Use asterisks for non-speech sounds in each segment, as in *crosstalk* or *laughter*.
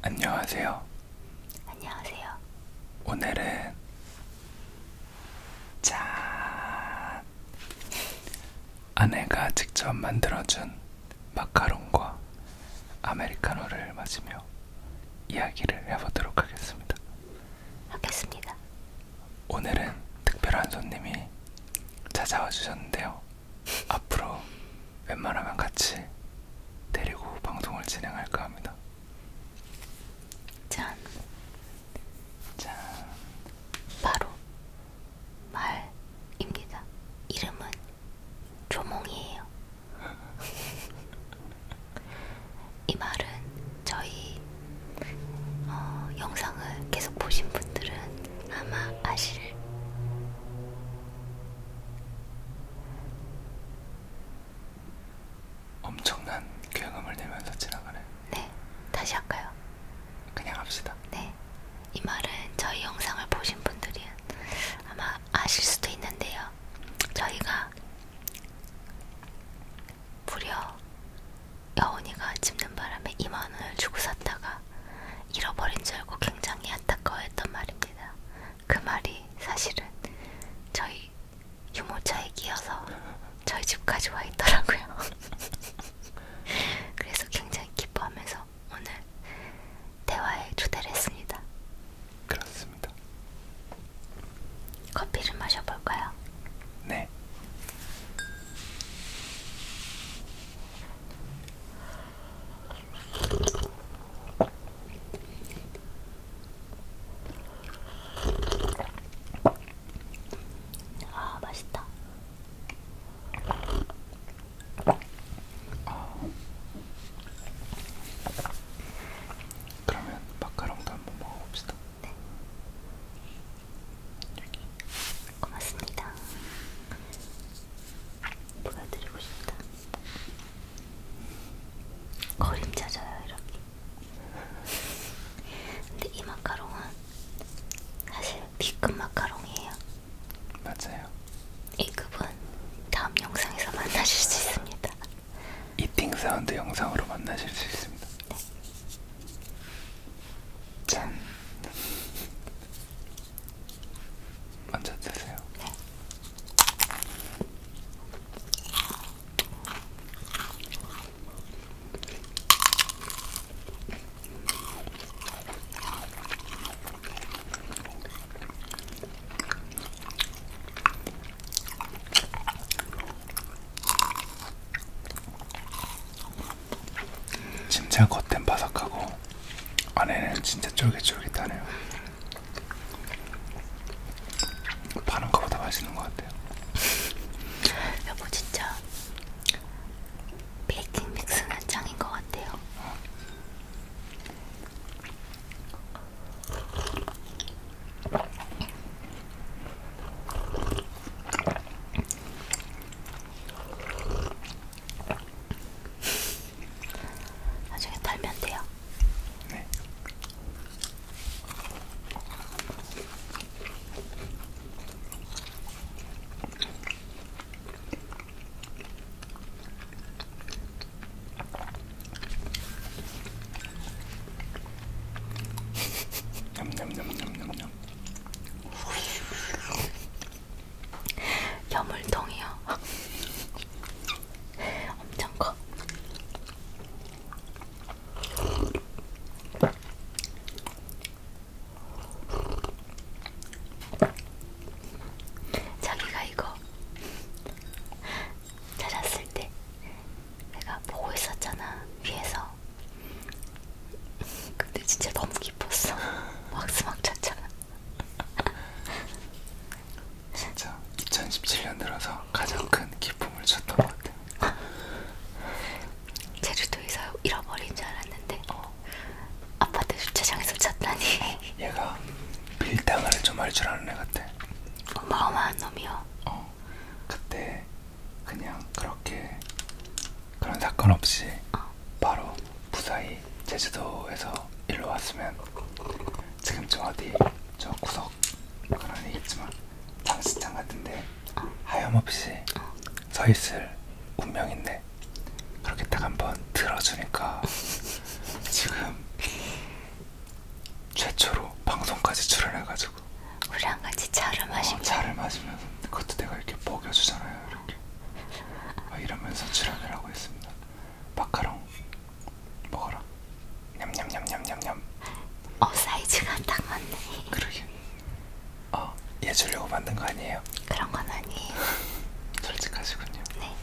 안녕하세요. 안녕하세요. 오늘은 짠 아내가 직접 만들어준 마카롱과 아메리카노를 마시며 이야기를 해보도록 하겠습니다. 하겠습니다. 오늘은 특별한 손님이 찾아와 주셨는데요. 앞으로 웬만하면 같이 데리고 방송을 진행할까 합니다. 짠. 짠. 바로 말입니다. 이름은 조몽이에요. *laughs* 이 말은 저희 어, 영상을 계속 보신 분들은 아마 아실 엄청난 굉음을 내면서 지나가네. 네, 다시 할까요? 그냥 합시다. 네, 이 말은 저희 영상을 보신 분들이 아마 아실 수도 있는데요. 저희가 무려 여운이가 집는 바람에 2만 원을 주고 샀다가 잃어버린 줄 알고 굉장히 안타까워했던 말입니다. 그 말이 사실은 저희 유모차에 끼어서 저희 집까지 와 있더라고요. *laughs* 그래서 굉장히 기뻐하면서 오늘 대화에 초대를 했습니다. 그렇습니다. 커피를 마셔볼까요? 네. 아, 맛있다. 아. 그러면 마카롱도 한번 먹어봅시다. 네. 여기. 고맙습니다. 보여드리고 싶다. 그림자져요 이렇게. 근데 이 마카롱은 사실 B급 마카롱이에요. 맞아요. A급은 다음 영상에서 만나실 수 있습니다. 이팅 사운드 영상으로 만나실 수 있습니다. 네. 짠. *laughs* 먼저 드세요. 진짜 겉엔 바삭하고 안에는 진짜 쫄깃쫄깃하네요. 파는 거보다 맛있는 것 같아요. *laughs* 여보 진짜 베이킹 믹스는 짱인 것 같아요. 어. 나중에 달면 돼요. 네. 냠냠냠냠냠냠. 여물통이요. 엄청 커. 자기가 이거 찾았을 때 내가 보고 있었잖아 위에서. 근데 진짜 너무 기뻤어. 막스막 *laughs* 찼잖아. 진짜 2017년 들어서 가장 큰 기쁨을 줬던 것 같아요. 제주도에서 잃어버린 줄 알았는데 어. 아파트 주차장에서 찾다니. 얘가 밀당을 좀 할 줄 아는 애 같아. 어마어마한 놈이요. 어. 그때 그냥 그렇게 그런 사건 없이 어. 바로 무사히 빨리 제주도에서 일로 왔으면 지금쯤 어디 저 구석 가난이 있지만 장식장 같은데 하염없이 서있을 운명인데 그렇게 딱 한번 들어주니까 지금 최초로 방송까지 출연해가지고 우리랑 같이 차를 어, 마시면 어, 차를 마시면서 그것도 내가 이렇게 먹여주잖아요 이렇게 막 이러면서 출연을 하고 있습니다 마카롱 먹어라. 냠냠냠냠냠냠. 어 사이즈가 딱 맞네. 그러게. 어, 얘 주려고 만든 거 아니에요? 그런 건 아니에요. *laughs* 솔직하시군요. 네.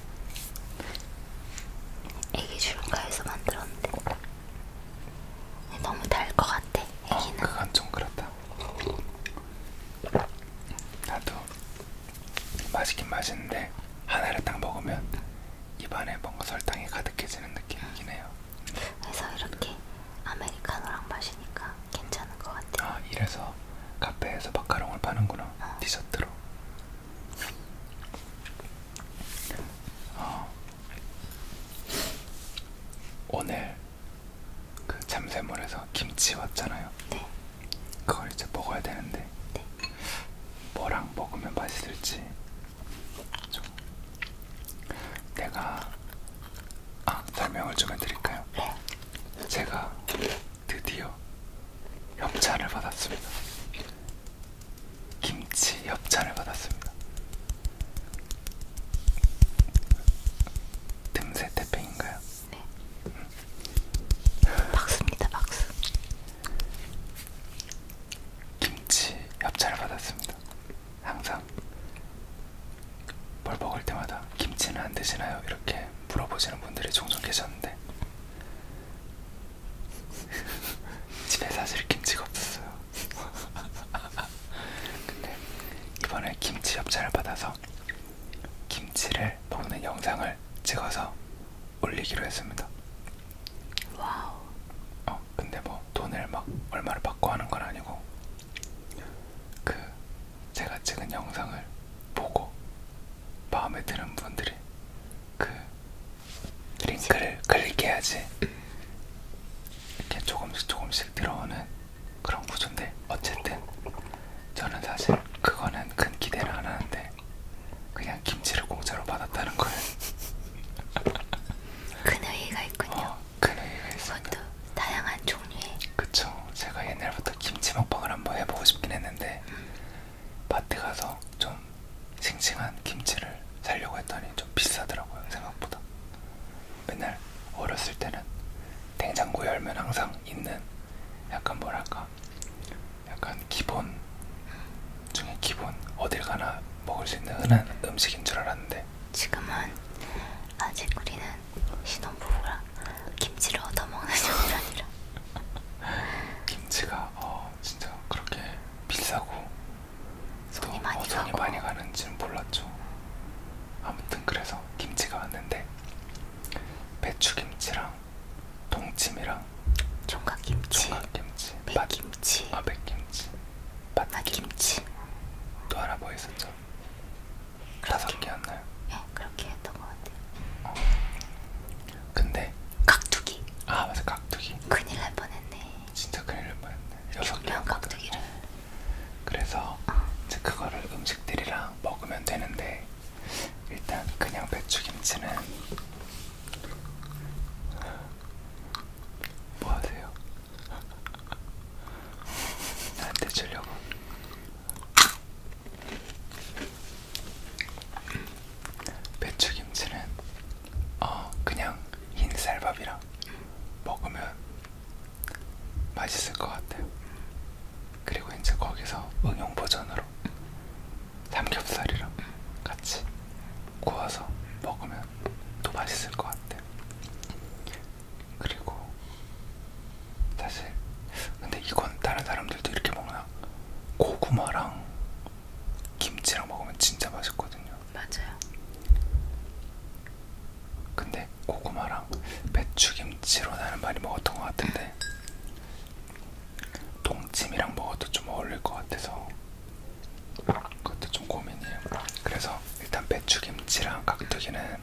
애기 주는가 해서 만들었는데 네, 너무 달 것 같아. 어, 애기는. 어, 그건 좀 그렇다. 나도 맛있긴 맛있는데 하나를 딱 먹으면 입안에 뭔가 설탕이 가득해지는 느낌이긴 해요. 그래서 이렇게 아메리카노랑 마시니까 괜찮은 것 같아요. 아 이래서 카페에서 마카롱을 파는구나 어. 디저트로. 어. 오늘 그 잠샘물에서 김치 왔잖아요. 네. 그걸 이제 먹어야 되는데 네. 뭐랑 먹으면 맛있을지 좀 내가 아 설명을 좀 해드릴까요? 네. 제가 드디어 협찬을 받았습니다. 김치 협찬을 받았습니다. 틈새 태핑인가요? 네. 음. 박수입니다, 박수. 김치 협찬을 받았습니다. 항상 뭘 먹을 때마다 김치는 안 드시나요? 이렇게 물어보시는 분들이 종종 계셨는데 *laughs* 집에 사실 김치가 없었어요. *laughs* 근데 이번에 김치 협찬을 받아서 김치를 먹는 영상을 찍어서 올리기로 했습니다. 와우. 어, 근데 뭐 돈을 막 얼마를 받고 하는 건 아니고 그 제가 찍은 영상을 보고 마음에 드는 분들이 그 링크를 클릭해야지 이렇게 조금씩 조금씩 들어오는 그런 구조인데 어쨌든 저는 사실 그거는 큰 기대를 안 하는데 그냥 김치를 공짜로 받았다는 거예요. *laughs* 큰 의의가 있군요. 어, 큰 의의가 있습니다. 다양한 종류의. 그쵸. 제가 옛날부터 김치 먹방을 한번 해보고 싶긴 했는데 음. 마트 가서 좀 싱싱한 김치를 살려고 했더니 좀 비싸더라고요. 생각보다. 맨날 어렸을 때는 냉장고 열면 항상 있는 약간 뭐랄까 약간 기본 중에 기본 어딜 가나 먹을 수 있는 흔한 음식인 줄 알았는데 지금은 아직 우리는 신혼부부라 김치를 얻어먹는 정도이라 *laughs* 김치가 어 진짜 그렇게 비싸고 손이 또 많이, 어, 손이 가고. 많이 가는지는 몰랐죠 아무튼 그래서 김치가 왔는데 배추김치랑 통찜이랑 총각김치, 총각김치 백김치, 아 백김치, 맛김치 또 하나 뭐 있었죠? 다섯 개였나요? 예, 그렇게 했던 것 같아요. 어. 근데 깍두기. 아 맞아 깍두기. 큰일 날 뻔했네. 진짜 큰일 날 뻔했네. 여섯 개 깍두기를. 그래서 어. 이제 그거를 음식들이랑 먹으면 되는데 일단 그냥 배추김치는 뭐 하세요? *laughs* 나한테 주려고. 배추김치는 어 그냥 흰쌀밥이랑 먹으면 맛있을 것 같아요. 그리고 이제 거기서 응용 버전으로 삼겹살이랑 같이 구워서 먹으면 더 맛있을 것 같아. 그리고 사실 근데 이건 다른 사람들도 이렇게 먹나? 고구마랑 김치랑 먹으면 진짜 맛있거든요. 맞아요. 근데 고구마랑 배추김치로 나는 많이 먹었던 것 같은데 동치미랑 먹어도 좀 어울릴 것 같아서 그것도 좀 고민이에요. 그래서 일단 배추김치랑 깍두기는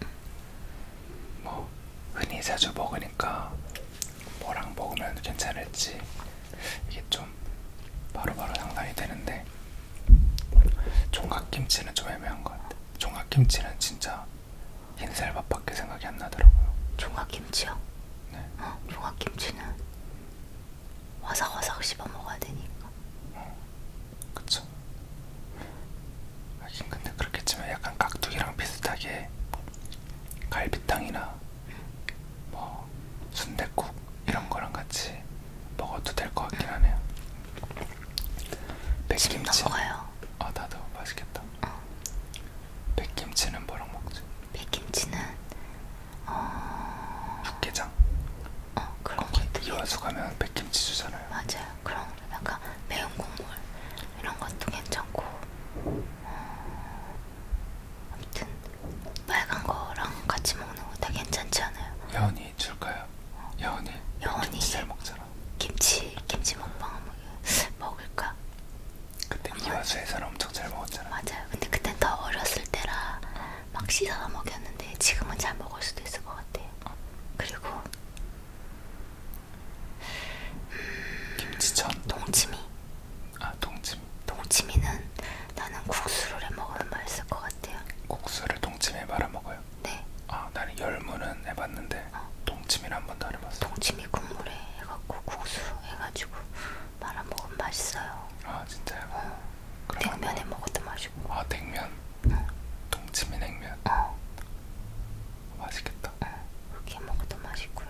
뭐 흔히 자주 먹으니까 뭐랑 먹으면 괜찮을지 이게 좀 바로바로 상상이 되는데 종각김치는 좀 애매한 것 같아. 종각김치는 진짜 흰쌀밥밖에 생각이 안 나더라고요. 종각김치요? 네. 어, 종각김치는 화삭화삭 씹어 먹어야 되니까. 어, 그쵸. 하긴 근데 그렇겠지만 약간 깍두기랑 비슷하게 갈비탕이나 뭐 순대국 이런 거랑 같이 먹어도 될 것 같긴 하네요. 백김치. 먹어요. 아 나도 맛있겠다. 어. 백김치는 뭐랑 먹지? 백김치는 어... 국게장. 어 그런 것도. 이화수 가면 백김치 주잖아요. 맞아요. 그런 약간 매운 국물 이런 것도 괜찮고. 어... 아무튼 빨간 거랑 같이 먹는 거 다 괜찮지 않아요? 여운이 줄까요? 어. 여운이. 여운이. 김치 잘 먹잖아. 김치 김치 먹방 먹을까? 그때 이화수에서 엄청 잘 먹었잖아. 맞아요. 근데 그때 더 어렸을 때라 막 씻어서 먹였는데 지금은 잘 먹을 수도 있을 것 같아요. 그리고 음, 김치전. 동치미. 아 동치미. 동치미는 나는 국수를 해 먹으면 맛있을 것 같아요. 국수를 동치미에 말아 먹어요? 네. 아 나는 열무는 해봤는데 어. 동치미를 한 번도 안 해봤어. 동치미 국물에 해갖고 국수 해가지고 말아 먹으면 맛있어요. 아 진짜요? 어. 냉면에 뭐... 먹어도 맛있고. 아 냉면? 응. 동치미 냉면. 어. 맛있겠다. 응. 그렇게 먹어도 맛있고요.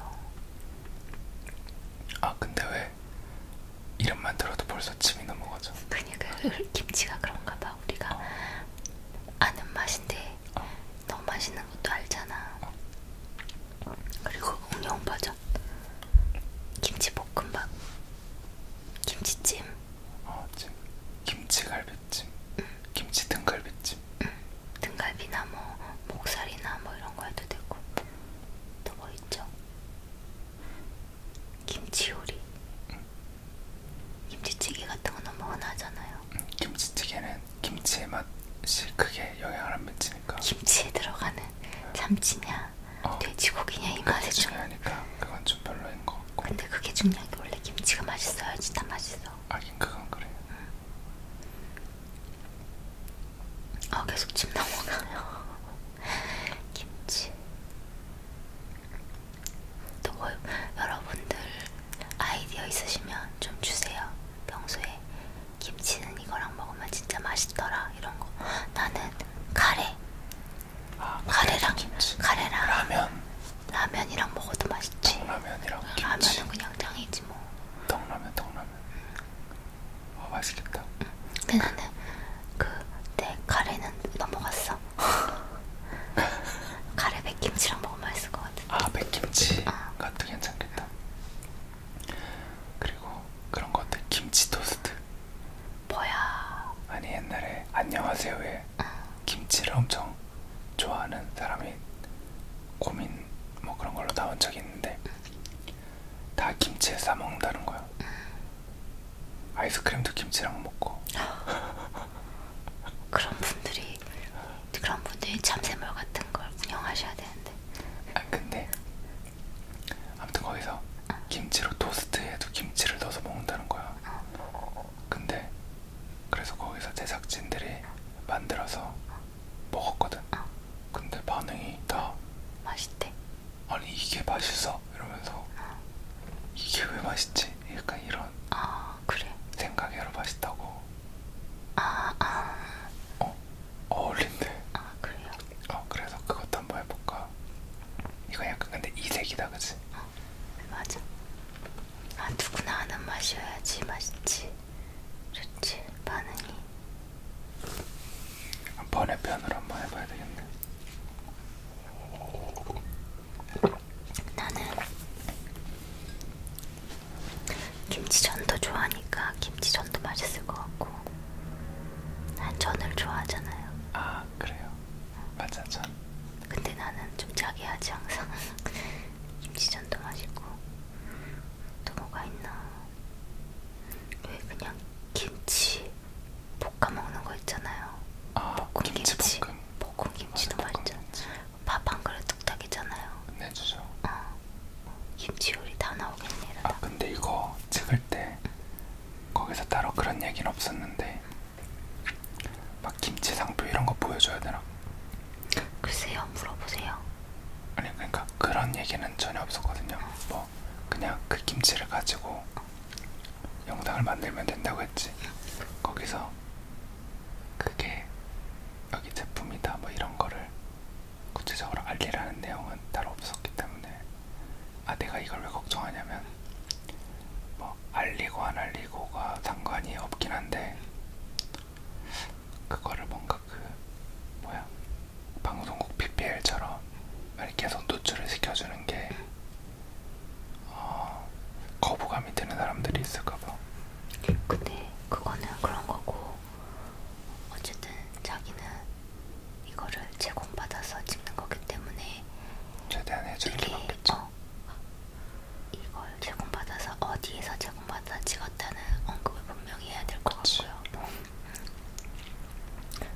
아 근데 왜 이름만 들어도 벌써 침이 넘어가죠? 그니까 *laughs* 김치가 그런가봐 우리가 어. 아는 맛인데 어. 너무 맛있는 것도 알잖아. 어. 그리고 공룡 버전 김치 볶음밥, 김치찜, 어, 찜. 김치 갈비찜, 응. 김치 등갈비찜, 응. 등갈비나 뭐 목살이나 뭐 이런 거 해도 되고 또 뭐 있죠? 김치 요리, 응. 김치찌개 같은 거 너무 흔하잖아요. 응. 김치찌개는 김치의 맛이 크게 영향을 안 미치는 아니까. 김치에 들어가는 참치냐, 어, 돼지고기냐 이 맛에 좀. 아니까 그건 좀 별로인 것 같고. 근데 그게 중요한 게 원래 김치가 맛있어야지 다 맛있어. 아긴 그건 그래. 응. 아 계속 침 넘어가요. *laughs* 김치. 또 뭐, 여러분들 아이디어 있으시면 좀 주세요. 평소에 김치는 이거랑 먹으면 진짜 맛있더라 이런 거. 나는 카레. 아, 카레랑 김치. 카레랑 라면. 라면이랑 먹어도 맛있지. 라면이랑 김치. 라면은 그냥 짱이지 뭐. 떡라면, 떡라면. 아 음. 어, 맛있겠다. 음. 근데 나는 그내 카레는 넘어갔어. *laughs* 카레 백김치랑 먹으면 맛있을 것 같아. 아 백김치. 어. 그것도 괜찮겠다. 그리고 그런 것들 김치 토스트. 뭐야? 아니 옛날에 안녕하세요에 응. 김치를 엄청 좋아하는 사람이 고민 뭐 그런 걸로 나온 적이 있는데 다 김치에 싸 먹는다는 거야. 응. 아이스크림도 김치랑 먹고. *laughs* 그런 분들이 그런 분들이 참새몰 같은 걸 운영하셔야 되는데. 아 근데 아무튼 거기서 김치로 토스트에도 김치를 넣어서 먹는다는 거야. 근데 그래서 거기서 제작진들이 만들어서 먹었거든. 근데 반응이 다 맛있대. 아니 이게 맛있어 이러면서 이게 왜 맛있지? 약간 이런 아, 그래. 생각이 여러 맛있다고. 아, 아. 어, 어울린대. 아 그래요? 어 그래서 그것도 한번 해볼까. 이거 약간 근데 이색이다 그치? 어, 맞아. 아 누구나 아는 맛이어야지 맛있지. 좋지 반응이. 번의 편으로 한번 해봐야 되겠네. 나는 김치전도 좋아하니까 김치전도 맛있을 것 같고. 난 전을 좋아하잖아요. 아 그래요? 맞아 전. 근데 나는 좀 짜게하지 항상. *laughs* 김치전도 맛있고 또 뭐가 있나? 왜 그냥 김치 볶아 먹는 거 있잖아요. 아, 볶음 김치, 김치 볶음. 볶음 김치도 맞아, 맛있잖아. 밥한 그릇 뚝딱이잖아요. 네 주죠. 어. 김치요리 다 나오겠네. 아 근데 이거 찍을 때 거기서 따로 그런 얘기는 없었는데 막 김치 상표 이런 거 보여줘야 되나? 글쎄요 물어보세요. 아니 그러니까 그런 얘기는 전혀 없었거든요. 어. 뭐 그냥 그 김치를 가지고 어. 영상을 만들면 된다고 했지. 거기서 그게 여기 제품이다 뭐 이런 거를 구체적으로 알리라는 내용은 따로 없었기 때문에 아 내가 이걸 왜 걱정하냐면 뭐 알리고 안 알리고가 상관이 없긴 한데 그거를 뭔가 그 뭐야 방송국 PPL처럼 계속 노출을 시켜주는 게 어, 거부감이 드는 사람들이 있을까봐. 근데 그거는 그런 거고 어쨌든 자기는 이거를 제공받아서 찍는 거기 때문에 최대한 해주는 게 맞겠죠. 어, 이걸 제공받아서 어디에서 제공받아 찍었다는 언급을 분명히 해야 될 것 같고요.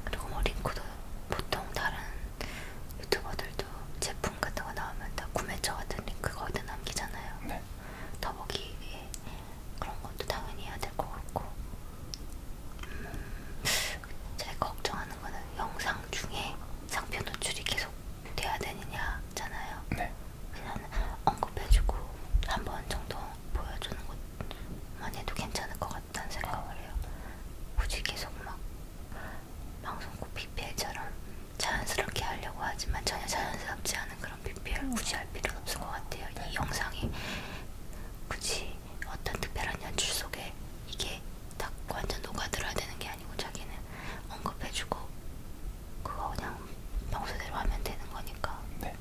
그리고 뭐 링크도 보통 다른 유튜버들도 제품 같은 거 나오면 다 구매처 같은 링크가 어디 남기잖아요. 네. 더보기에 그런 것도 당연히 해야 될 것 같고 음, 제가 걱정하는 거는 영상 중에 상표 노출이 계속 돼야 되느냐잖아요. 네. 그냥 언급해주고 한 번 정도 보여주는 것만 해도 괜찮을 것 같다는 생각을 해요. 굳이 계속 막 방송국 BPL처럼 자연스럽게 하려고 하지만 전혀 자연스럽지 않은 그런 BPL 음. 굳이 할 필요는 없을 것 같아요. 이 영상이 굳이 어떤 특별한 연출 속에 이게 딱 완전 녹아들어야 되는 게 아니고 자기는 언급해주고 그거 그냥 평소대로 하면 되는 거니까. 네.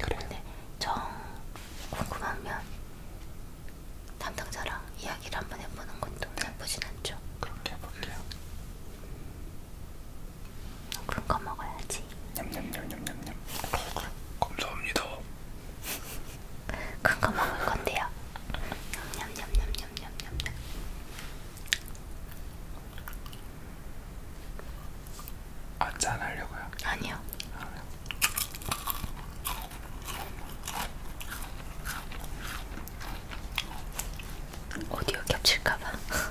그래. 근데 정 궁금하면 담당자랑 이야기를 한번 해보는 것도 나쁘진 않죠. 그렇게 해볼게요. 굵거 먹어야지. 냠냠냠냠냠냠. 감사합니다. 큰 *laughs* 거 먹을 건데요. 냠냠냠냠냠냠. 아짠 하려고요. 아니요. 오디오 겹칠까봐. *laughs*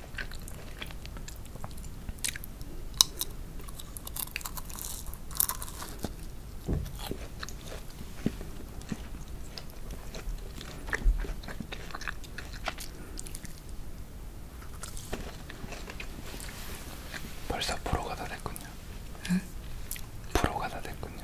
벌써 프로가 다 됐군요. 응? 프로가 다 됐군요.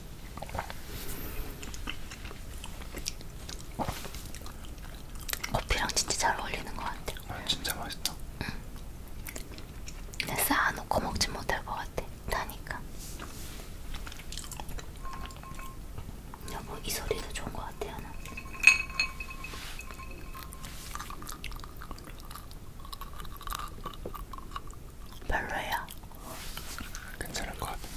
커피랑 진짜 잘 어울리는 것 같아. 아, 진짜 맛있다. 응. 근데 쌓아놓고 먹진 못할 것 같아. 다니까. 여보 이 소리도 좋은 것 같아요. 나. 별로야. 괜찮을 것 같은데.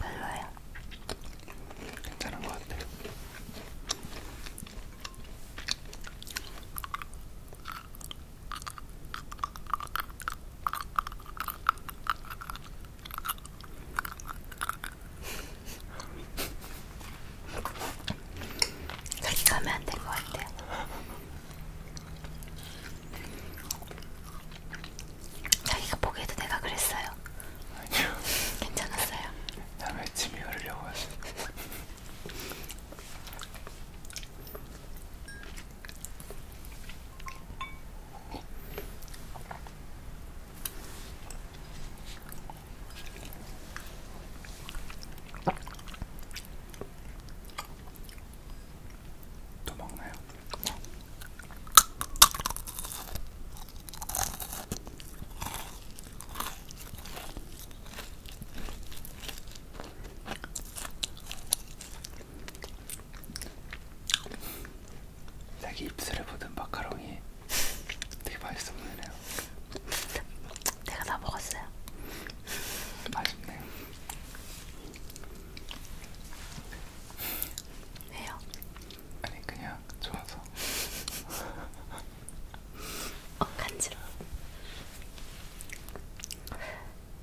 별로야. 괜찮은 것 같아. 그렇게 하면 안될것 같아요. 자기가 보기에도 내가 그랬어요. 아니요. *laughs* 괜찮았어요. 남의 침이 흐르려고 하시. 또 먹나요? 네. 자기 입술에 묻은 마카롱이 되게 맛있어 보이네요. 내가 다 먹었어요. 맛있네요. 왜요? 아니 그냥 좋아서. 어 간지러.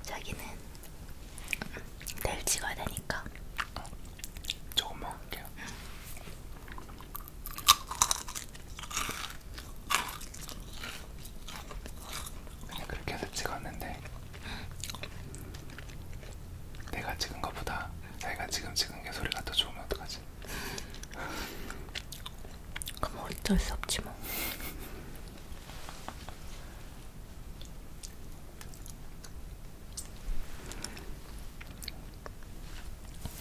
자기는 내일 찍어야 되니까. 조금 먹을게요. 근데 그렇게 해서 찍었는데 내가 찍은 것보다 내가 지금 찍은 게 소리가 더 좋으면 어떡하지? 그럼 어쩔 수 없지 뭐.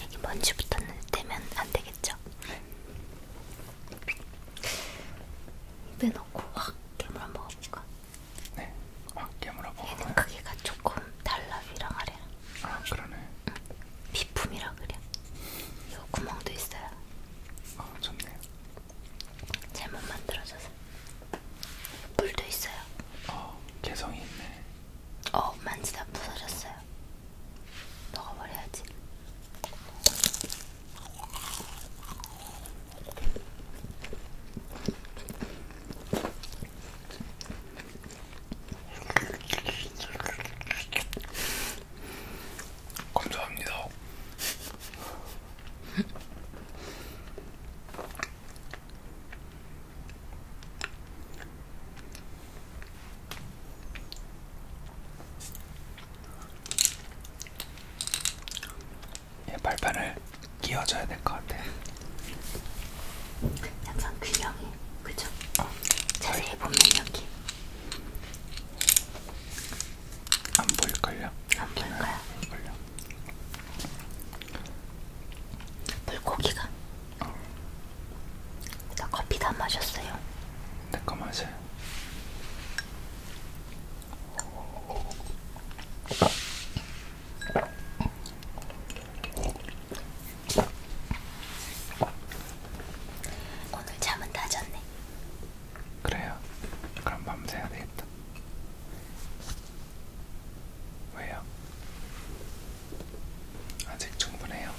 여기 먼지 붙었는데면 안 되겠죠? 입에 넣고 확 깨물어 먹어볼까? 네, 확 깨물어 먹어볼까? 얘는 크기가 조금 달라 위랑 아래랑. 아 그러네. 응. 비품이라 그래. 요 구멍도 있어요. 아 좋네요. 잘못 만들어져서. 물도 있어요. 어 개성이 있네. 어 만지다 부서졌어요. 먹어버려야지. 감사합니다. 예, 발판을 끼워줘야 될 것 같아. 항상 균형이 그죠? 어, 자세히 보면 여기 안 보일걸요? 안 보일까요? 안 보일걸요? 물고기가 어. 나 커피 다 마셨어요. 내거 마셔. 오늘 잠은 다 잤네. 그래요. 그럼 밤새야 되겠다. 왜요? 아직 충분해요.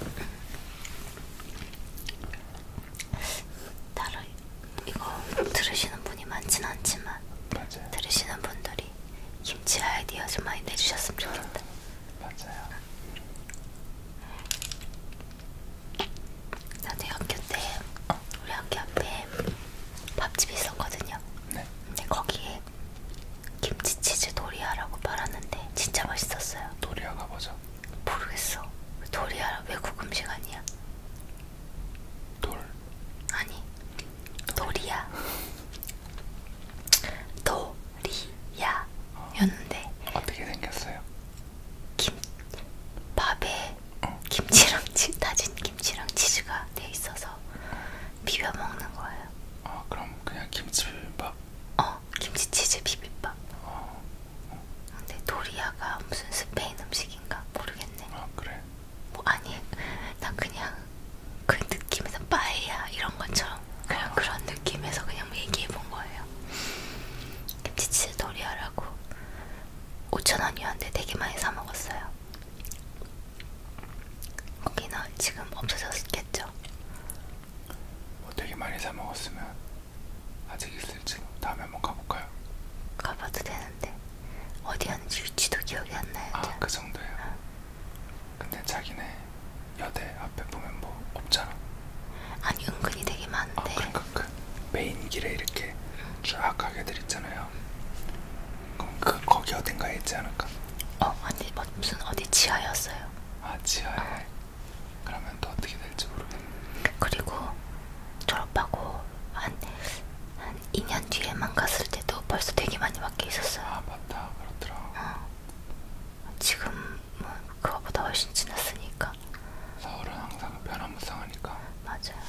다른 이거 들으시는 분이 많진 않지만 맞아요. 들으시는 분들이 김치 아이디어 좀 많이 내주셨으면 좋겠다. 맞아요. 음. 나도 학교 때 우리 학교 앞에 밥집이 있었거든요. 네. 근데 거기에 김치치즈 도리아라고 팔았는데 진짜 맛있었어요. 도리아가 뭐죠? 모르겠어. 도리야 외국 음식 아니야? 돌. 아니. 도리야. 도리야였는데. 어떻게 생겼어요? 김 밥에 어. 김치랑 치 다진 김치랑 치즈가 돼 있어서 비벼 먹는 거예요. 아 그럼 그냥 김치 비빔밥? 어 어, 김치치즈 비빔밥. 어. 어. 근데 도리아가 무슨 스페인 음식인가 모르겠네. 아 그래? 뭐 아니, 나 그냥 그 느낌에서 빠이야 이런 것처럼 그냥 어. 그런 느낌에서 그냥 얘기해 본 거예요. 김치치즈 도리아라고 5천 원이었는데 되게 많이 사 먹었어요. 거기는 지금 없어졌겠죠? 뭐 되게 많이 사 먹었으면 아직 있을지 다음에 한번 가볼까요? 가봐도 되는데 어디였는지 위치도 기억이 안 나요. 아 그 정도예요. 어. 근데 자기네 여대 앞에 보면 뭐 없잖아. 아니 은근히 되게 아, 많은데. 아 그러니까 그 메인 길에 이렇게 쫙 가게들 있잖아요. 그럼 그 거기 어딘가에 있지 않을까? 어 아니 뭐, 무슨 어디 지하였어요. 아 지하에. 어. 그러면 또 어떻게 될지 모르겠네. 그리고 졸업하고 한, 한 2년 뒤에만 갔을 때도 벌써 되게 많이 바뀌어 있었어요. 아, 맞다. 그렇더라. 어. 지금은 뭐 그거보다 훨씬 지났으니까. 서울은 항상 변화무쌍하니까. 맞아요.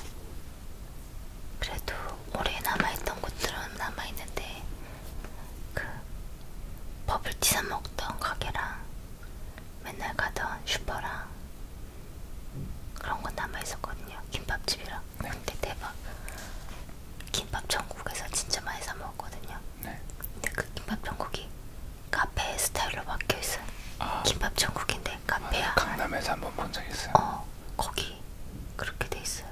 그래도 오래 남아있던 곳들은 남아있는데 그 버블티 사 먹던 가게랑 맨날 가던 슈퍼랑 그런 건 남아 있었거든요. 김밥집이랑. 네. 근데 대박. 김밥 전국에서 진짜 많이 사 먹었거든요. 네. 근데 그 김밥 전국이 카페 스타일로 바뀌어 있어요. 아, 김밥 전국인데 카페야. 아, 강남에서 한번 본 적 있어요. 어, 거기 그렇게 돼 있어요.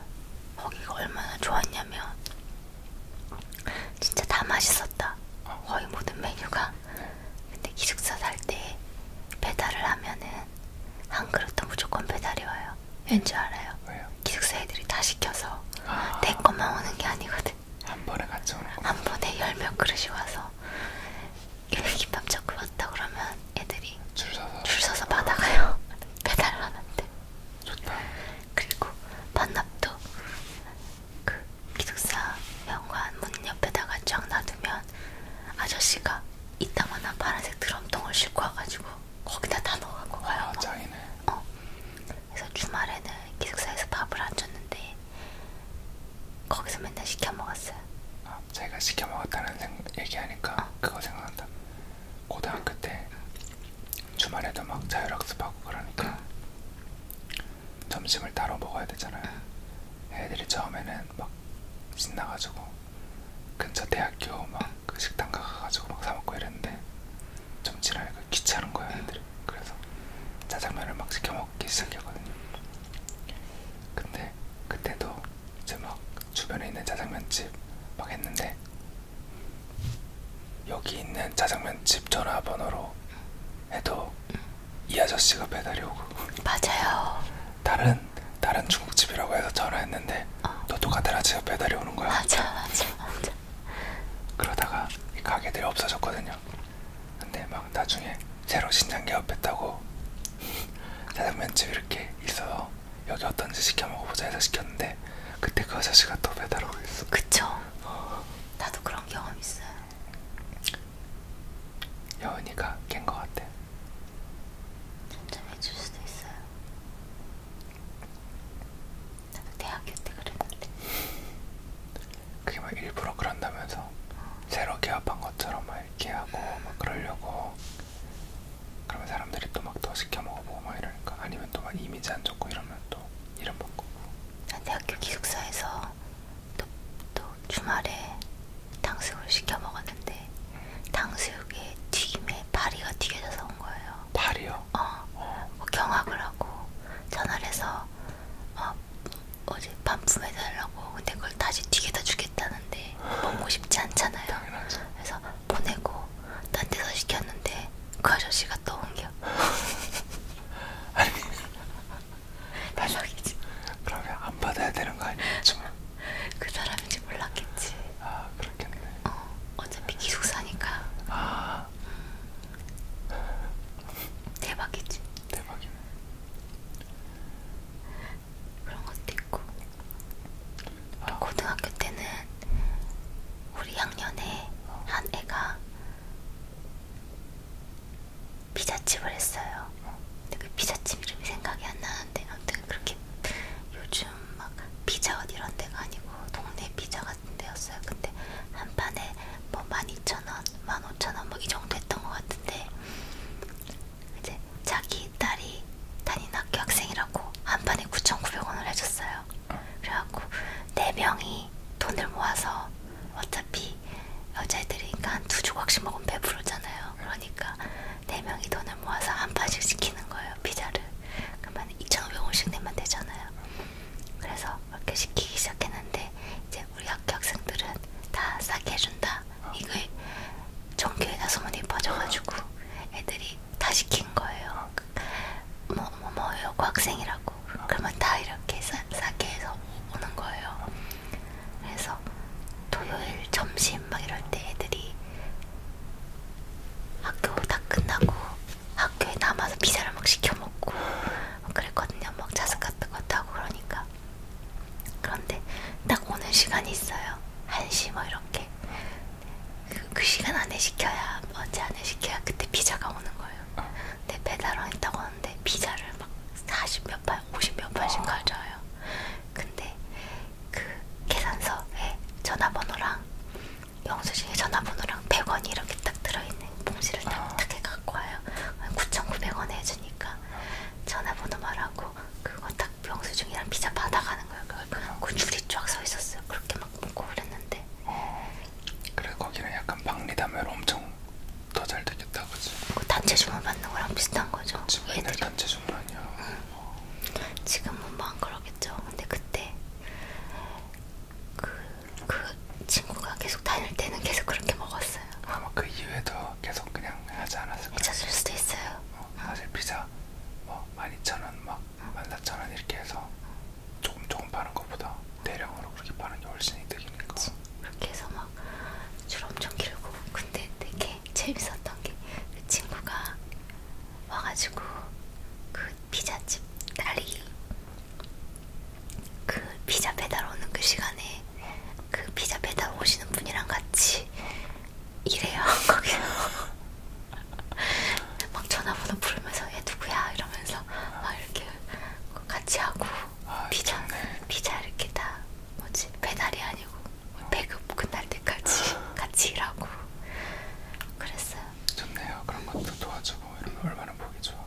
거기가 얼마나 좋았냐면 진짜 다 맛있었다. 아. 거의 모든 메뉴가. 근데 기숙사 살 때 배달을 하면은 한 그릇도 무조건 배달이 와요. 왠지 알아요? 왜요? 기숙사 애들이 다 시켜서 아내 것만 오는 게 아니거든. 한 번에 같이 오는 거. 한 번에 열몇 그릇이 와서 일김밥 자꾸 왔다 그러면 애들이 줄 서서 줄 서서 받아가요. *laughs* 배달하는데. 좋다. 그리고 반납도 그 기숙사 현관문 옆에다가 쫙 놔두면 아저씨가 이따만한 파란색 드럼통을 싣고 와가지고 거기다 다 넣어갖고 가요. 아, 장이네. 어. 그래서 주말에는 기숙사에서 밥을 안 줬는데 거기서 맨날 시켜 먹었어요. 아, 제가 시켜 먹었다는 생, 얘기하니까 어. 그거 생각난다. 고등학교 때 주말에도 막 자율학습하고 그러니까 응. 점심을 따로 먹어야 되잖아요. 애들이 처음에는 막 신나가지고 근처 대학교 막 그 식당 가가지고 막 사먹고 이랬는데 좀 지나니까 귀찮은 거야 애들이. 그래서 짜장면을 막 시켜 먹기 시작했거든요. 근데 그때도 이제 막 주변에 있는 짜장면집 막 했는데 여기 있는 짜장면집 전화번호로 해도 이 아저씨가 배달이 오고 맞아요 다른 다른 중국집이라고 해서 전화했는데 어. 또 똑같은 아저씨가 배달이 오는 거야 맞아 맞아 맞아 그러다가 이 가게들이 없어졌거든요 근데 막 나중에 새로 신장 개업했다고 *laughs* 짜장면집 이렇게 있어서 여기 어떤지 시켜 먹어보자 해서 시켰는데 그때 그 아저씨가 또 배달 오고 있어 그쵸 나도 그런 경험 있어요 여은이가 깬것 같아. 점점해질 수도 있어요. 나도 대학교 때 그랬는데. 그게 막 일부러 그런다면서 어. 새로 개업한 것처럼 막 이렇게 하고 막 그러려고. 그러면 사람들이 또 막 더 시켜 먹어보고 막 이러니까 아니면 또 막 이미지 안 좋고 이러면 또 이름 바꾸고. 대학교 기숙사에서 또, 또 주말에 탕수육을 시켜 먹었는데 탕수육에 튀김에 파리가 튀겨져서 온 거예요. 파리요? 어. 뭐 경악을 하고 전화를 해서 어, 어제 반품해 달라고 근데 그걸 다시 튀겨다 주겠다는데 먹고 싶지 않잖아요. 당연하죠. 그래서 보내고 딴 데서 시켰는데 그 아저씨가 또 온겨. *laughs* 아니 대박이지. *laughs* 그러면 안 받아야 되는 거 아니겠지? 그 사람인지 몰랐겠지. 아 그렇겠네. 어 어차피 기숙사니까. 아 *laughs* 대박이지. 대박이네. 그런 것도 있고. 아. 고등학교 때는 우리 학년에 어. 한 애가 피자집을 했어요. 근데 그 피자집 이름이 생각이 안 나는데 아무튼 그렇게 요즘 막 피자헛 이런 데가 아니고 동네 피자 같은 데였어요. 근데 한 판에 뭐 12,000원, 15,000원 뭐 이 정도 했던 것 같은데 이제 자기 딸이 다니는 학교 학생이라고 한 판에 9,900원을 해줬어요. 그래갖고 네 명이 돈을 모아서 어차피 여자애들이니까 그러니까 한두 조각씩 먹으면 배부르잖아요. 그러니까 네 명이 돈을 모아서 한 판씩 시키는 거예요. 피자를. 그러면 2,500원씩 내면 되잖아요. 그래서 그렇게 시키기 시작했는데 이제 우리 학교 학생들은 다 싸게 해준다. 이거에 전교에다 소문이 퍼져가지고 애들이 다 시킨 거예요. 뭐 뭐뭐 뭐, 여고 뭐, 학생이라고 하고 그러면 다 이렇게 싸, 싸게 해서 오는 거예요. 그래서 토요일 점심 막 이럴 때 애들이 학교 다 끝나고 학교에 남아서 피자를 막 시켜 먹고 그랬거든요. 막 자습 같은 것도 하고 그러니까 그런데 딱 오는 시간이 있어요. 1시 뭐 이렇게 그, 그 시간 안에 시켜야 언제 안에 시켜야 그때 피자가 오는 거예요. 근데 배달원 있다고 먹었는데 피자를 막 40몇 판, 50몇 판씩 가져와요. 근데 그 계산서에 전화번호랑 영수증에 전화번호랑 100원이 이렇게 딱 들어있는 봉지를 딱딱 아. 해 갖고 와요. 9,900원 해주니까 전화번호 말하고 그거 딱 영수증이랑 피자 받아가는 거예요. 아. 그 줄이 쫙 서 있었어요. 그렇게 막 먹고 그랬는데. 어, 그래 거기는 약간 박리담회로 엄청 더잘 되겠다 그지? 그 단체 주문 받는 거랑 비슷한 거죠? 지금 옛날 단체 주문이야. 응. 어. 지금은 뭐 안 그러겠죠. 근데 그때 그그 그 친구가 계속 다닐 때는 계속 그렇게 먹었어요. 아마 그 이후에도 계속 그냥 하지 않았을까? 잊었을 수도 있어요. 어, 사실 피자 뭐 12,000원 막 14,000원 이렇게 해서 조금 조금 파는 것보다 대량으로 그렇게 파는 게 훨씬 이득이니까. 그치. 그렇게 해서 막 줄 엄청 길고 근데 되게 재밌었던 게그 친구가 와가지고 그 피자집 달리기 그 피자 배달 오는 그 시간에 그 피자 배달 오시는 분이랑 같이 일해요 *laughs* 거기서 막 전화번호 부르면서 얘 누구야 이러면서 막 이렇게 같이 하고 아, 피자 정말. 피자 이렇게 다 뭐지 배달이 아니고 배급 끝날 때까지 아. *laughs* 같이 일하고 그랬어요. 좋네요. 그런 것도 도와주고 이러면 얼마나 보기 좋아.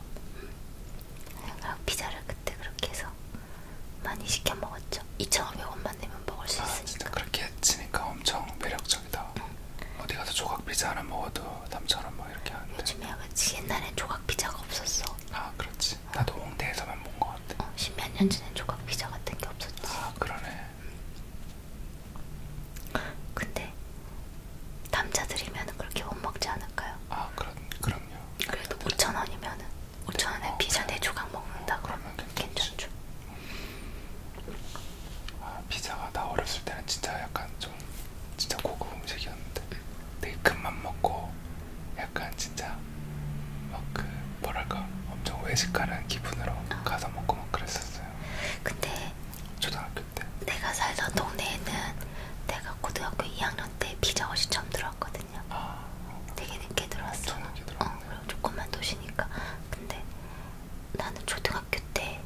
그냥 피자를 그때 그렇게 해서 많이 시켜 먹었죠. 2,500원만 내면 먹을 수 아, 있으니까. 진짜 그렇게 치니까 엄청 매력적이다. 응. 어디 가서 조각 피자 하나 먹어도 남처럼 뭐 이렇게 하는데. 요즘에 그렇지 옛날엔 조각 피자가 없었어. 아 그렇지. 모르겠어. 나도 홍대에서만 본 것 같아. 어, 십몇 년 전에 조각 피자 같은 게 없었지. 아 그러네. 근데 남자들이면 그렇게 못 먹지 않을까요? 아 그런 그럼요. 그래도 5천 원이면은 5천 원에 어, 피자 네 조각 먹는다 어, 그러면 괜찮죠. 아 피자가 나 어렸을 때는 진짜 약간 좀 진짜 고급 음식이었는데 되게 큰맘 먹고 약간 진짜 막 그 뭐랄까 엄청 외식하는 기분으로 어. 가서 먹고 막 그랬었어요. 근데 초등학교 때 내가 살던 동네에는 내가 고등학교 2학년 때 비정어시 처음 들어왔거든요. 아, 어. 되게 늦게 들어왔어. 늦게 어, 그리고 조금만 도시니까. 근데 나는 초등학교 때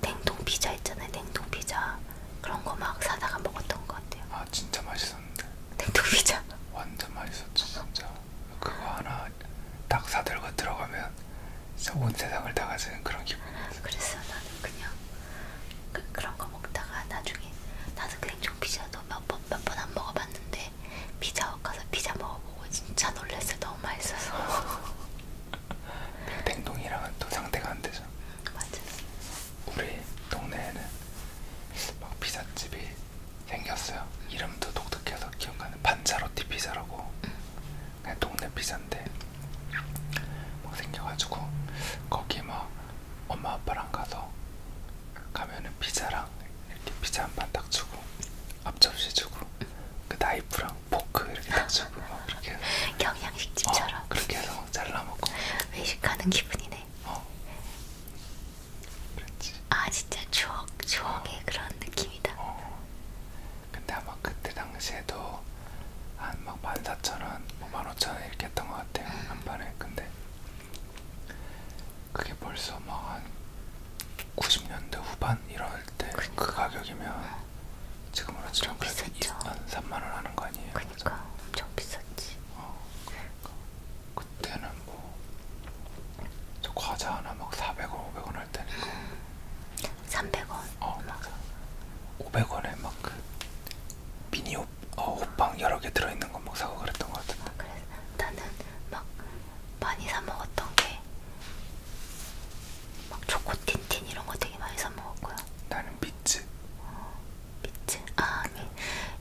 냉동 피자 있잖아요. 냉동 피자 그런 거 막 사다가 먹었던 것 같아요. 아 진짜 맛있었는데. 냉동피자. 네, 완전 맛있었죠 진짜. 그거 하나 딱 사들고 들어가면 진짜 온 세상을 다 가지는 그런 기분이었어요. 그래서 나는 그냥 그, 그런 거 먹다가 나중에 나는 그 냉동피자도 몇번몇번 안 먹어봤는데 피자헛 가서 피자 먹어보고 진짜 놀랐어요. 너무 맛있어서. *laughs* 그 냉동이랑은 또 상대가 안 되죠. 음, 맞아. 우리 동네에는 막 피자집이 생겼어요. 이름도 독특해서 기억나는 반차로티 피자라고 그냥 동네 피자인데 막 생겨가지고 거기 막 엄마 아빠랑 가서 가면은 피자랑 이렇게 피자 한 판딱 주고 앞접시 주고 그 나이프랑 포크 이렇게 딱 주고 막 그렇게 *laughs* 경양식집처럼 어, 그렇게 해서 잘라 먹고 외식하는 기분이네. 네. 어. 그랬지. 아 진짜 추억, 추억의 어. 그런 느낌이다. 어. 근데 아마 그때 당시에도 한막 14,000원, 뭐 15,000원 이렇게 했던 것 같아요. 음. 한 판에. 근데 그게 벌써 막한 90년대 후반 이럴 때그 그러니까. 가격이면 어. 지금으로 치면 그래도 3만원 하는 거 아니에요? 그니까 엄청 비쌌지. 어, 그러니까. 그때는 뭐, 저 과자 하나 막 400원, 500원 할 때니까. 300원. 어, 맞아. 500원에 막그 미니 옷, 어, 옷방 여러 개 들어있는 거 막 사고 그랬던 것 같은데. 아, 그래서 나는 막 많이 사 먹었던 게. 막 초코틴틴 이런 거 되게 많이 사 먹었고요. 나는 비츠. 어, 미츠? 아 아니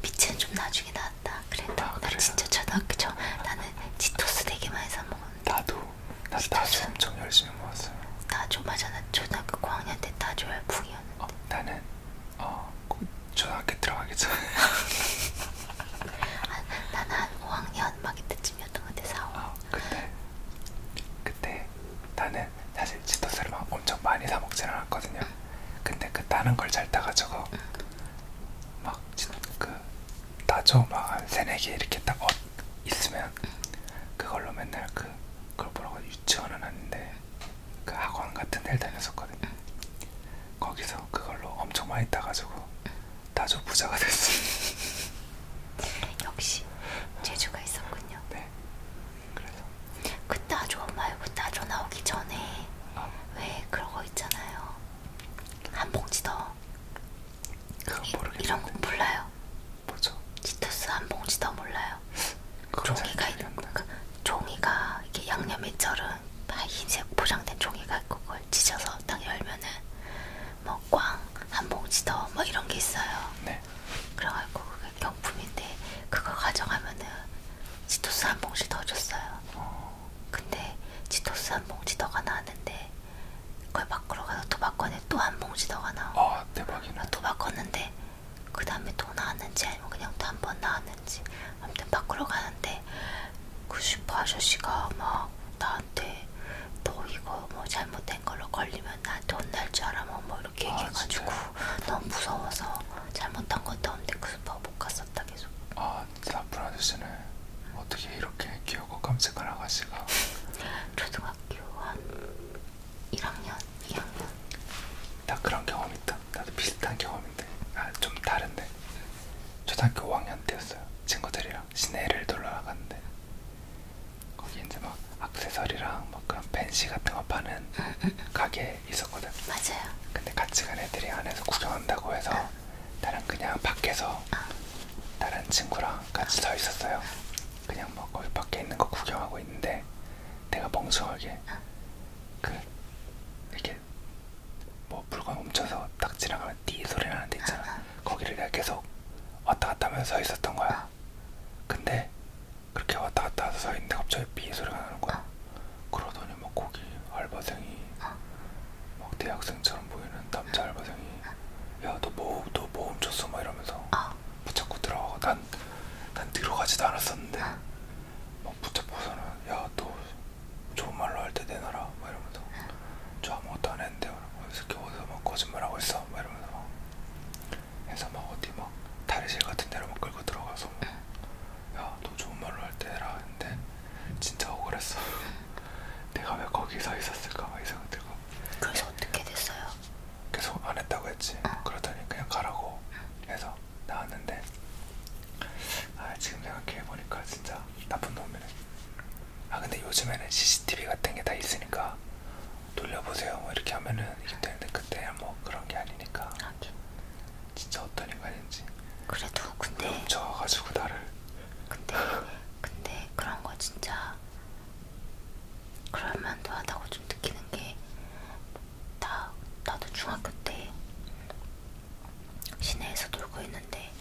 미츠는 좀 나중에 나왔다 그래도 아, 나 진짜 초등학교 저 나는 치토스 되게 많이 사먹었는데 나도 나 다주 엄청 열심히 먹었어요 다주 맞아 나 초등학교 고학년 때 다주 열풍이었는데 어, 나는 어 초등학교 들어가기 전에 아, 나는 한 5학년 막 이때쯤이었던 것 같아 4, 5 어, 그때 그때 나는 사실 치토스를 막 엄청 많이 사 먹지는 않았거든요. 근데 그 다른 걸잘 따가지고 막 그 따져 막한 세네 개 이렇게 딱 어, 있으면 그걸로 맨날 그 그걸 보라고 유치원은 아닌데 그 학원 같은 데를 다녔었거든요. 거기서 그걸로 엄청 많이 따가지고 따져 부자가 됐어요. *laughs* 역시 재주가 있었군요. 네. 그래서 그때 아주 말고 따져 나오기 전에 어. 왜 그런 거 있잖아요. 한봉지 더. 그건 모르겠는데. 이런 건 몰라요. 뭐죠? 치토스 한봉지 더 몰라요. 종이가 있는 거. 그 종이가 이렇게 양념에 절은 흰색 포장된 종이가 있고 그걸 찢어서 딱 열면은 뭐 꽝 한 봉지 더 뭐 이런 게 있어요. 네. 그래가지고 그게 경품인데 그거 가져가면은 치토스 한 봉지 더 줬어요. 어. 근데 치토스 한 봉지 더가 나왔는데 그걸 바꾸러 가서 또 바꿨는데 또한 봉지 더가 나와. 아 대박이네. 아, 또 바꿨는데 그 다음에 또 나왔는지 아니면 그냥 또 한 번 나왔는지 아무튼 바꾸러 가는데 그 슈퍼 아저씨가 막 나한테 너 이거 뭐 잘못된 걸로 걸리면 나한테 혼날 줄 알아 뭐뭐 뭐 이렇게 아, 얘기해가지고 진짜요? 너무 무서워서 잘못한 것도 없는데 그 슈퍼 못 갔었다 계속. 아 나쁜 아저씨네. 어떻게 이렇게 귀엽고 깜찍한 아가씨가? *laughs* 초등학교 한 1학년, 2학년. 나 그런 경험 있다. 나도 비슷한 경험인데, 아좀 다른데. 초등학교 5학년 때였어요. 친구들이랑 시내를 놀러 나갔는데 거기 이제 막 액세서리랑 막 그런 펜시 같은 거 파는 가게에 게 있었거든. 맞아요. 근데 같이 간 애들이 안에서 구경한다고 해서 어. 나는 그냥 밖에서 어. 다른 친구랑 같이 어. 서 있었어요. 그냥 뭐 거기 밖에 있는 거 구경하고 있는데 내가 멍청하게 어. 그 이렇게 뭐 물건 훔쳐서 딱 지나가면 띠 소리 나는 데 있잖아. 어. 거기를 내가 계속 왔다 갔다 하면서 서 있었던 거야. 어. 근데 그렇게 왔다 갔다 해서 서 있는데 갑자기 삐 소리가 나는 거야. 어. 그러더니 막 거기 알바생이 어. 막 대학생처럼 보이는 남자 어. 알바생이 어. 야너 뭐, 너뭐 훔쳤어? 막 이러면서 어. 붙잡고 들어가고 난, 난 들어가지도 않았었는데 어. 막 붙잡고서는 야 너 좋은 말로 할 때 내놔라 막 이러면서 어. 저 아무것도 안 했는데 이 새끼 어디서 막 거짓말하고 있어 막 이러면서 막 해서 막 어디 막 다리실 같은 데로 막 끌고 들어가서 막 어. 야너 좋은 말로 할 때라 했는데 진짜 억울했어 *laughs* 내가 왜 거기 서 있었을까 막 이상이 들고 그래서 어떻게 됐어요? 계속 안 했다고 했지 어. 그러더니 그냥 가라고 해서 나왔는데 아 지금 생각해보니까 진짜 나쁜 놈이네 아 근데 요즘에는 CCTV 같은 게 다 있으니까 돌려보세요 뭐 이렇게 하면은 이게 되는데 그때 뭐 그런 게 아니니까 하긴 아, 진짜 어떤 인간인지 그래도 근데 훔쳐가지고 나를 근데 근데 그런 거 진짜 그럴만도 하다고 좀 느끼는 게 나 나도 중학교 때 시내에서 놀고 있는데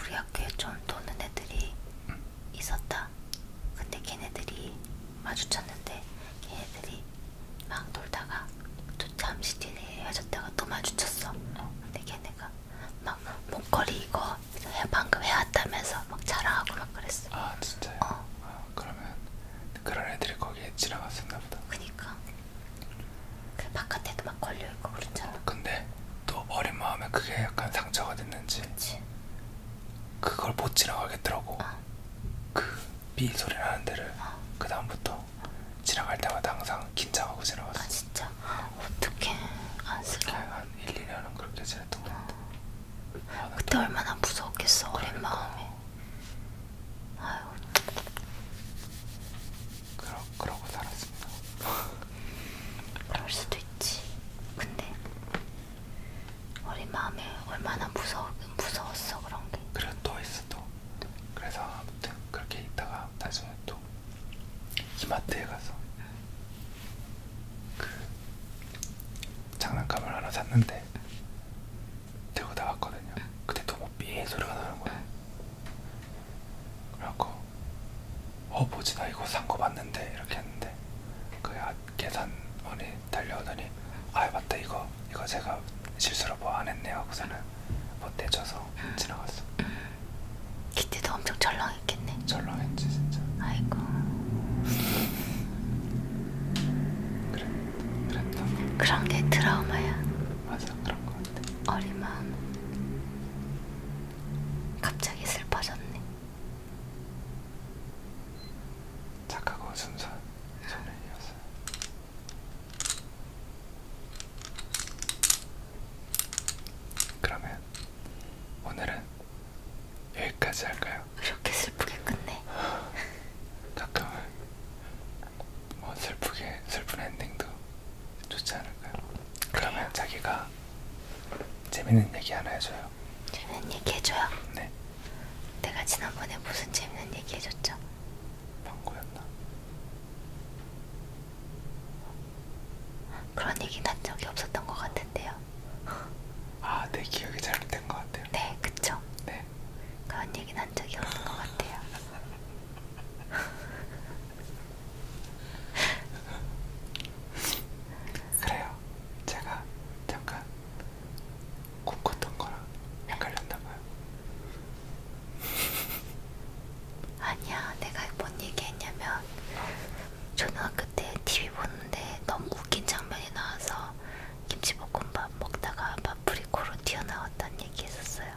우리 학교에 좀 도는 애들이 있었다. 근데 걔네들이 마주쳤는데 걔네들이 막 놀다가 또 잠시 뒤에 헤어졌다가 또 마주쳤어. 어, 근데 걔네가 막 목걸이 이거 방금 해왔다면서 막 자랑하고 막 그랬어. 아 진짜요? 어. 아, 그러면 그런 애들이 거기에 지나갔었나 보다. 그니까. 그 바깥에도 막 걸려 있고 그랬잖아. 어, 근데 또 어린 마음에 그게 약간 상처가 됐는지. 그치. 그걸 못 지나가겠더라고. 어. 그삐 소리 나는 데를 어. 그 다음부터 지나갈 때마다 항상 긴장하고 지나갔어. 아 진짜? 어떻게 안쓰러워. 한 1, 2년은 그렇게 지냈던 것 같아. 아, 그때 또... 아, 얼마나 무서웠겠어 그러니까. 어린 마음에. 아유. 그러, 그러고 살았습니다. 그럴 수도 있지. 근데 어린 마음에 얼마나 무서워, 무서웠어 그런 게. 그리고 또 있어 또. 또. 그래서 아무튼 그렇게 있다가 나중에 또 이마트에 가서 응. 그 장난감을 하나 샀는데 응. 들고 나왔거든요. 응. 그때 너무 삐 소리가 나는 거야. 응. 그래갖고 어 뭐지 나 이거 산거 봤는데 이렇게 했는데 그 아, 계산원이 사람이 달려오더니 아 맞다 이거 이거 제가 실수로 뭐 안 했네요 하고서는 못 뭐 대줘서 음. 지나갔어. 키티도 음. 엄청 절렁했겠네. 절렁했지 진짜. 아이고. 그래, 그랬다. 그런 게 트라우마야. 맞아 그런 거 같아. 어린 마음. 갑자기 슬퍼졌네. 착하고 순수한 소년이었어요. 그러면 오늘은 여기까지 할까요? 이렇게 슬프게 끝내. *laughs* 가끔은 뭐 슬프게 슬픈 엔딩도 좋지 않을까요? 그러면 자기가 재밌는 얘기 하나 해줘요. 재밌는 얘기 해줘요. 네. 내가 지난번에 무슨 재밌는 얘기 해줬죠? 방구였나? 그런 얘기 난 적이 없었던 것 같은데요. 아, 내 기억이 잘못된 것 같아요. 네, 그쵸? 네. 그런 얘기 난 적이 없는 것 같아요. *laughs* 그래요. 제가 잠깐 꿈꿨던 거랑 헷갈렸나봐요. *laughs* 아니야, 내가 뭔 얘기했냐면 초등학교 때 TV 보는데 너무 웃긴 장면이 나와서 김치볶음밥 먹다가 마프리코로 튀어나왔다는 얘기했었어요.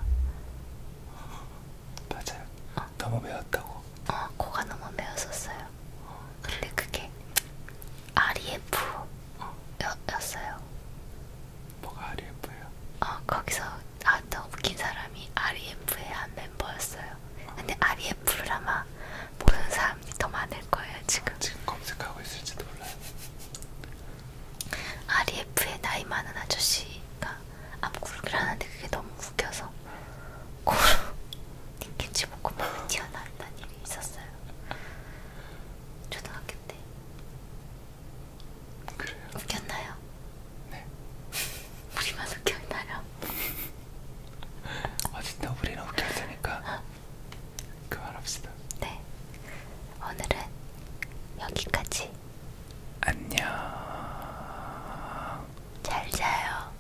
*laughs* 맞아요. 어. 너무 매웠다고. 어, 코가 너무 매웠었어요. 어. 근데 그게 REF였어요. 뭐가 REF예요? 어 거기서 나왔던 아, 웃긴 사람이 REF의 한 멤버였어요. 근데 REF를 아마 보는 사람이 더 많을 거예요 지금. 지금 검색하고 있을지도 몰라요. REF의 나이 많은 아저씨가 앞구르기를 하는데 그게 너무 웃겨서 코로 닝겐지 먹고 막 튀어나온다는 일이 있었어요. 초등학교 때. 그래요. 웃겼나요? 네. *laughs* 우리만 웃겼나요? 어쨌든 아, 우리는 웃길 테니까 그만합시다. 네. 오늘은 여기까지. 안녕. 잘 자요.